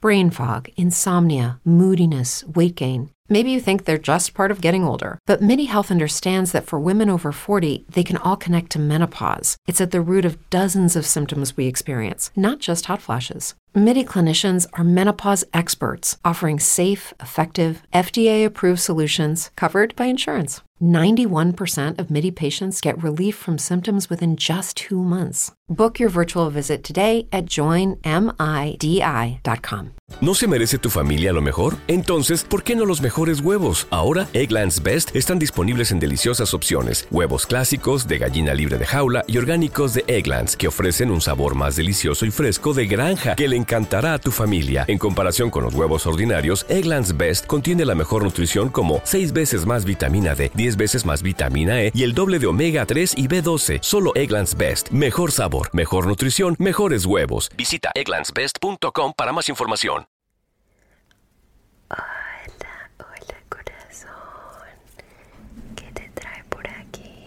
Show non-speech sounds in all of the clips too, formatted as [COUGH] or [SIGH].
Brain fog, insomnia, moodiness, weight gain. Maybe you think they're just part of getting older, but MIDI Health understands that for women over 40, they can all connect to menopause. It's at the root of dozens of symptoms we experience, not just hot flashes. MIDI clinicians are menopause experts offering safe, effective, FDA approved solutions covered by insurance. 91% of MIDI patients get relief from symptoms within just two months. Book your virtual visit today at joinmidi.com. ¿No se merece tu familia lo mejor? Entonces, ¿por qué no los mejores huevos? Ahora, Egglands Best están disponibles en deliciosas opciones: huevos clásicos, de gallina libre de jaula y orgánicos de Egglands, que ofrecen un sabor más delicioso y fresco de granja que le encantará a tu familia. En comparación con los huevos ordinarios, Egglands Best contiene la mejor nutrición como 6 veces más vitamina D 10 veces más vitamina E y el doble de omega 3 y B12. Solo Egglands Best. Mejor sabor, mejor nutrición, mejores huevos. Visita egglandsbest.com para más información. Hola, hola corazón. ¿Qué te trae por aquí?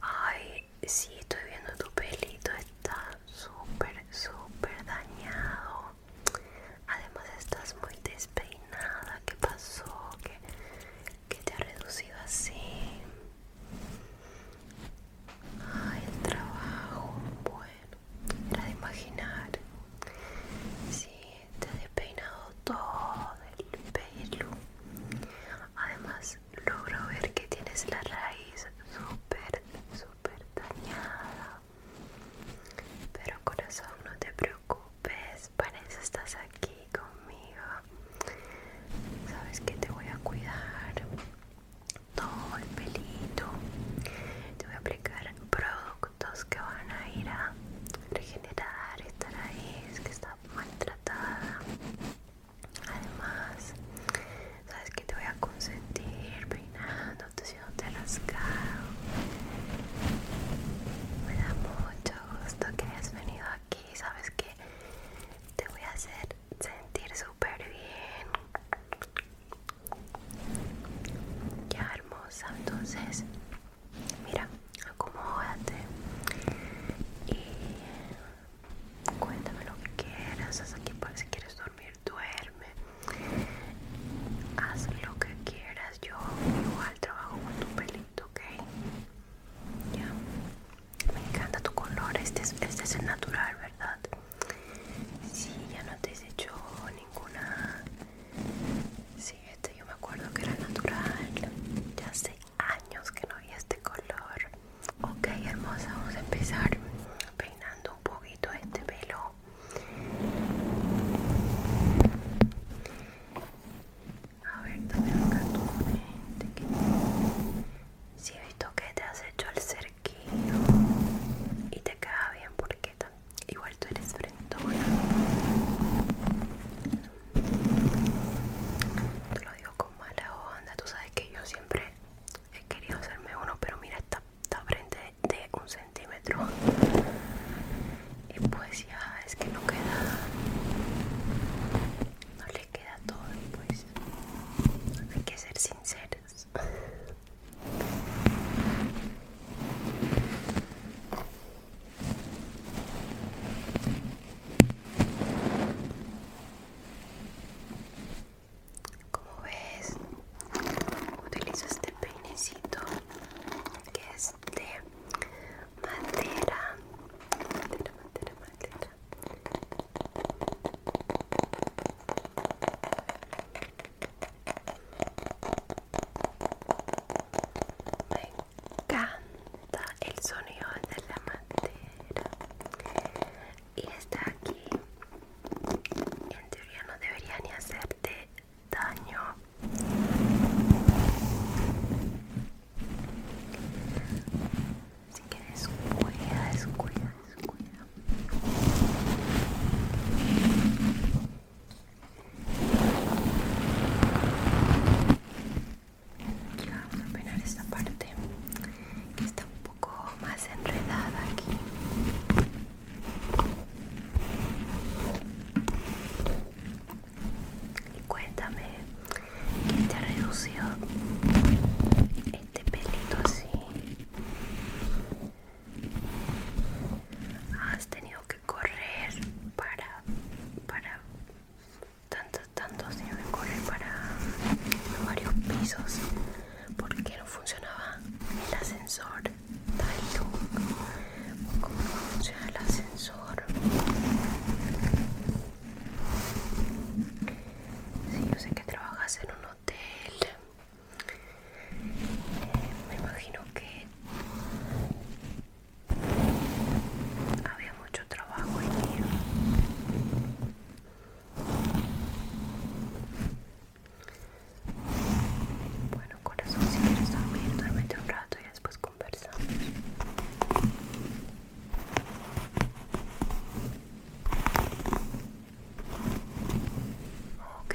Ay, sí, estoy viendo tu pelito, está súper, súper dañado además estás muy despeinada, ¿qué pasó? ¿Qué, te ha reducido así? Ay, el trabajo, bueno, era de imaginar. Sí, te has despeinado todo el pelo. Además, logro ver que tienes la raíz súper, súper dañada. Pero corazón, no te preocupes, para eso estás aquí conmigo. Sabes que te voy a cuidar todo el pelito. Te voy a aplicar productos que van a ir a regenerar esta raíz que está maltratada. Además, sabes que te voy a consentir te las rascado. Me da mucho gusto que hayas venido aquí, sabes que te voy a hacer sentir súper bien. qué hermosa, entonces mira, acomódate y cuéntame lo que quieras, estás aquí para pues, si quieres dormir duerme. Haz lo que quieras, yo igual trabajo con tu pelito, ¿ok? Ya. Me encanta tu color, este es, este el natural, ¿verdad? si ya no te has hecho ninguna... si este yo me acuerdo que era natural. Ya hace años que no vi este color. Ok, hermosa, vamos a empezar peinando un poquito este pelo a ver también acá tu que... si he visto que te has hecho el cerquillo y te queda bien porque igual tú eres frentona te lo digo con mala onda tú sabes que yo siempre he querido hacerme uno pero mira esta está frente de un centímetro y pues ya es que no queda no le queda todo pues hay que ser sinceros como ves, utilizo este peinecito que es de madera. Madera, madera, madera. Me encanta el sonido de la madera y está aquí. En teoría no debería ni hacerte daño. así que descuida descuida, descuida. Ya vamos a peinar esta parte. está más enredada aquí y cuéntame que te ha reducido este pelito así has tenido que correr para para tanto tanto has tenido que correr para varios pisos porque no funcionaba el ascensor como cómo funciona el ascensor si yo sé que trabajas en un hotel eh, me imagino que había mucho trabajo allí bueno, corazón, si quieres dormir, duérmete un rato y después conversamos. Ok.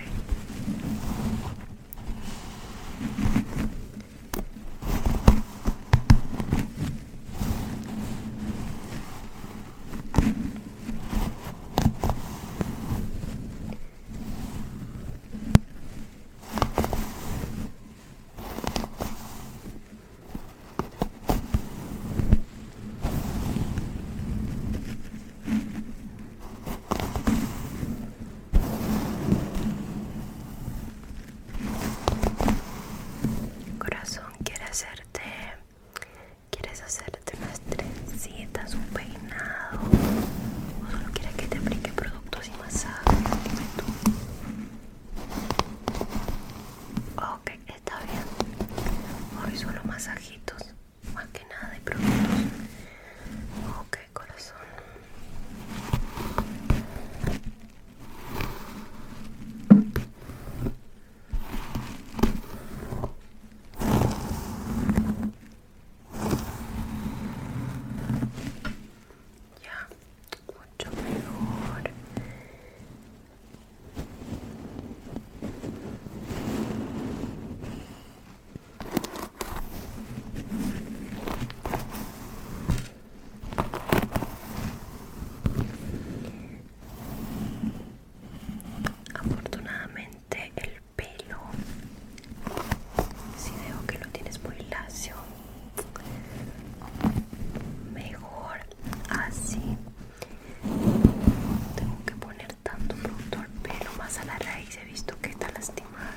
Corazón quiere hacerte ¿Quieres hacerte unas trencitas, un peinado? ¿O solo quieres que te aplique productos y masajes? Dime tú. Ok, está bien. Hoy solo masajitos, más que nada de productos. Ok, corazón. Ya, mucho mejor. Afortunadamente el pelo, si veo que lo tienes muy lacio, mejor así. tengo que poner tanto producto al pelo, más a la raíz he visto que está lastimada.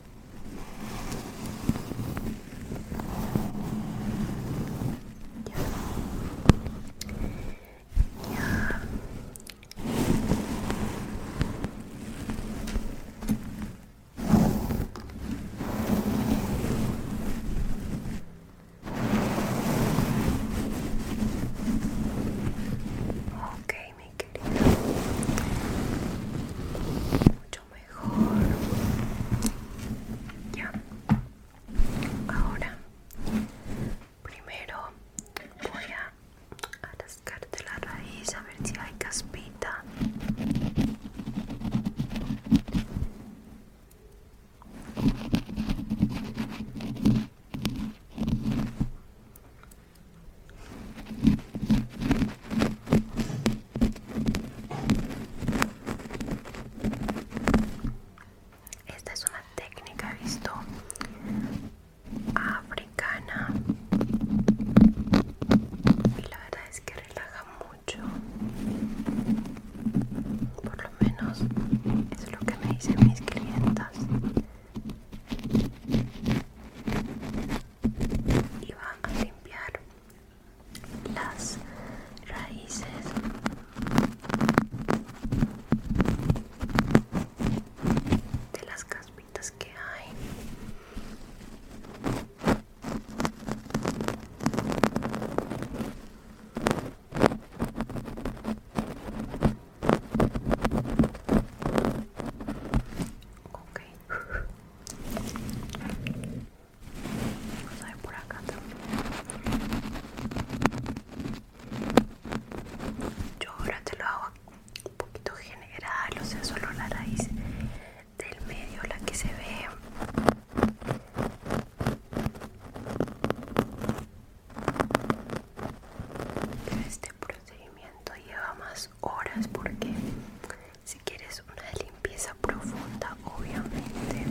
Yeah. Okay, mi querida. Mucho mejor. Ya. Ahora, primero voy a rascarte la raíz a ver si hay caspita. Esta es una técnica, visto, africana. Y la verdad es que relaja mucho. Por lo menos es lo que me dicen mis clientas. Y va a limpiar las raíces de las caspitas que hay ok yo ahora te lo hago un poquito general, o sea, solo la raíz del medio, la que se ve. Este procedimiento lleva más horas porque si quieres una limpieza profunda obviamente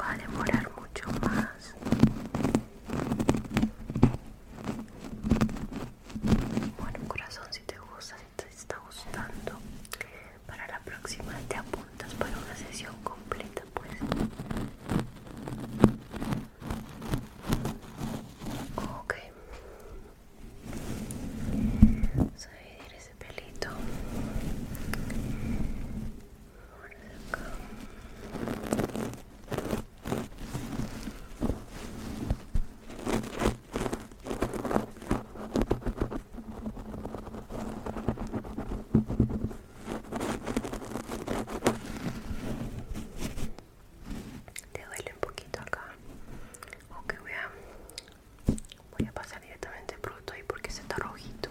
va a demorar mucho más bueno corazón si te gusta si te está gustando para la próxima te apuntas para una sesión completa pues ok Vamos a dividir ese pelito te duele un poquito acá ok voy a voy a pasar directamente producto ahí porque se está rojito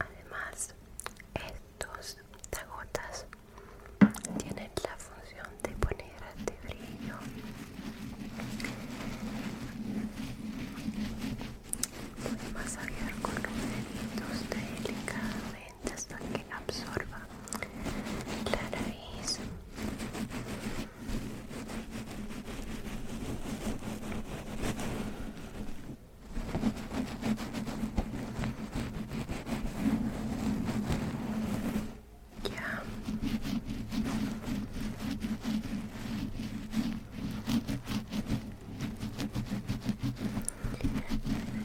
Además, estos tagotas tienen la función de poner de brillo Voy a masajear con los deditos delicadamente hasta que absorba la nariz. Ya.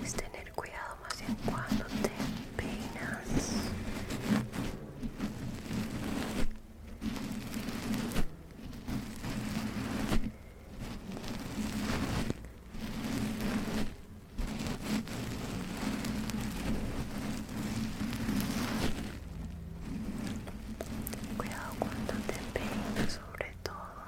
Es tener cuidado más en cuando te peinas. Cuidado cuando te peines, sobre todo.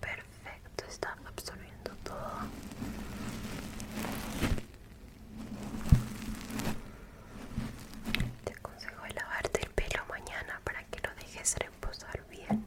Perfecto, está absorbiendo todo. Te aconsejo lavarte el pelo mañana para que lo dejes reposar bien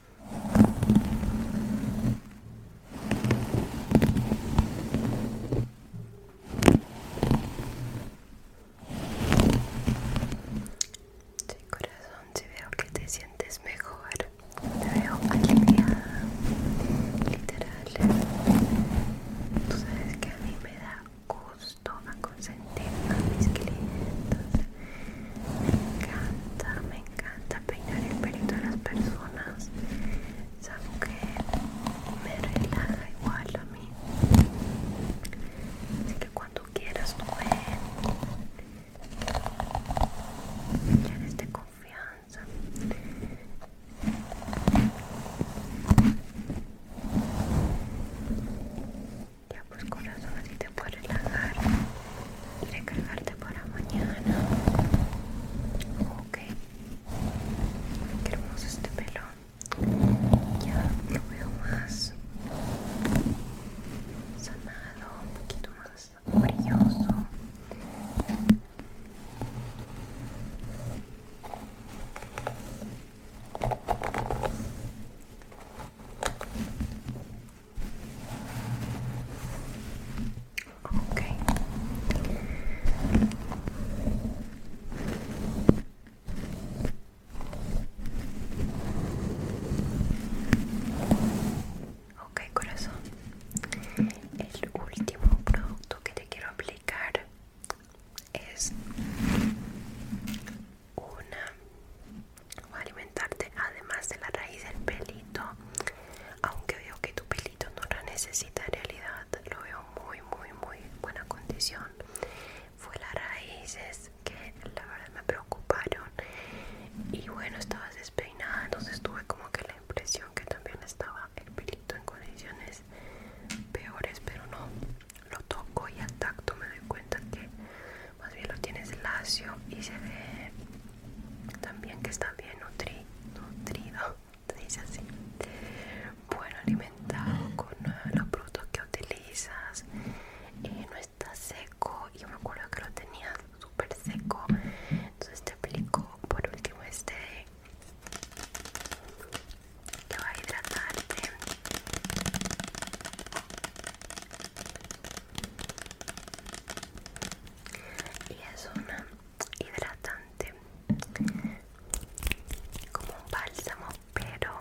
Sí, corazón, si veo que te sientes mejor, te veo alineada literal. Tú sabes que a mí me da gusto consentir a mis clientes me encanta, me encanta peinar el pelito de las personas. algo que me relaja igual a mí. Así que cuando quieras tú ven. Ya de este confianza. Ya pues corazón así te puedes relajar recargarte para mañana. Ok, qué hermoso este pelo. Ya lo veo más sanado, un poquito más brilloso. Ok. Okay, corazón. El último producto que te quiero aplicar es una o alimentarte además de la raíz del pelito aunque veo que tu pelito no la necesita en realidad lo veo muy muy muy buena condición fue las raíces que la verdad me preocuparon y bueno estaba despeinada entonces tuve como que la impresión que también estaba el pelito en condiciones peores pero no lo toco y al tacto me doy cuenta que más bien lo tienes lacio y se ve también que está bien nutrido, [LAUGHS] se dice así. Bueno, alimentado con ah, los productos que utilizas, eh, no está seco. Yo me acuerdo que lo tenía súper seco, entonces te aplico por último este que va a hidratarte y es una hidratante como un bálsamo pero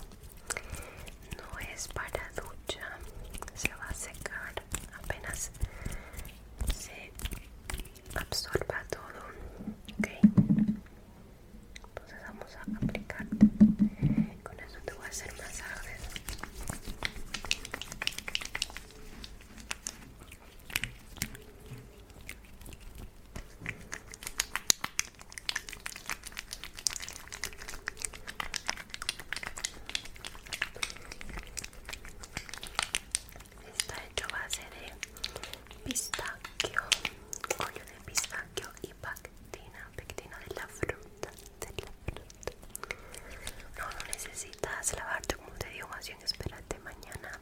no es para ducha se va a secar apenas se absorba todo entonces vamos a aplicar con eso te voy a hacer masajes. Está hecho a base de pistachio pollo de pistachio y pectina, pectina de la fruta. Este, no, no necesitas lavarte como te digo, más bien espérate mañana.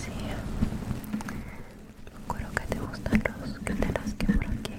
Sí, creo que te gustan los que te las que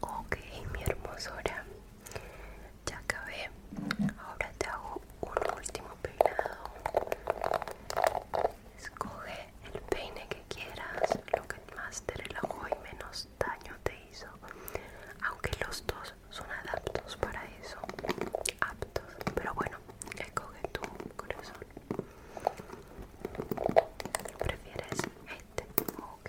Ok, mi hermosura, ya acabé. Ahora te hago un último peinado. Escoge el peine que quieras, lo que más te relajó y menos daño te hizo. Aunque los dos son adaptos para eso aptos pero bueno escoge tu corazón prefieres este ok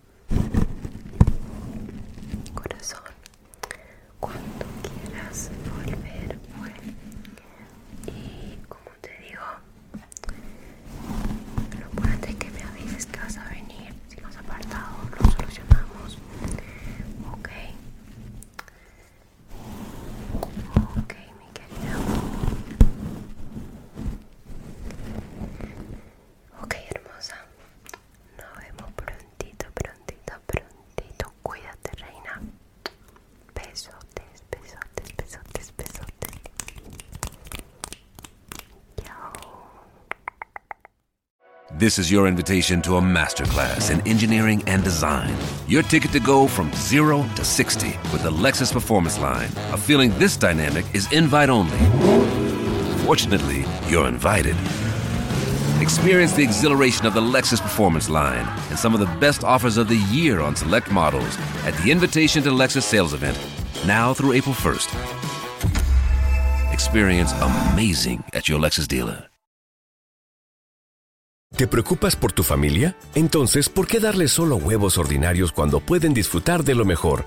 Corazón, cuando quieras volver, Y como te digo, lo importante es que me avises que vas a venir. Si nos apartado, lo solucionamos. Ok. Ok, mi querida. This is your invitation to a masterclass in engineering and design. Your ticket to go from zero to 60 with the Lexus Performance Line. A feeling this dynamic is invite only. Fortunately, you're invited. Experience the exhilaration of the Lexus Performance line and some of the best offers of the year on select models at the Invitation to Lexus sales event now through April 1st. Experience amazing at your Lexus dealer. ¿Te preocupas por tu familia? Entonces, ¿por qué darle solo huevos ordinarios cuando pueden disfrutar de lo mejor?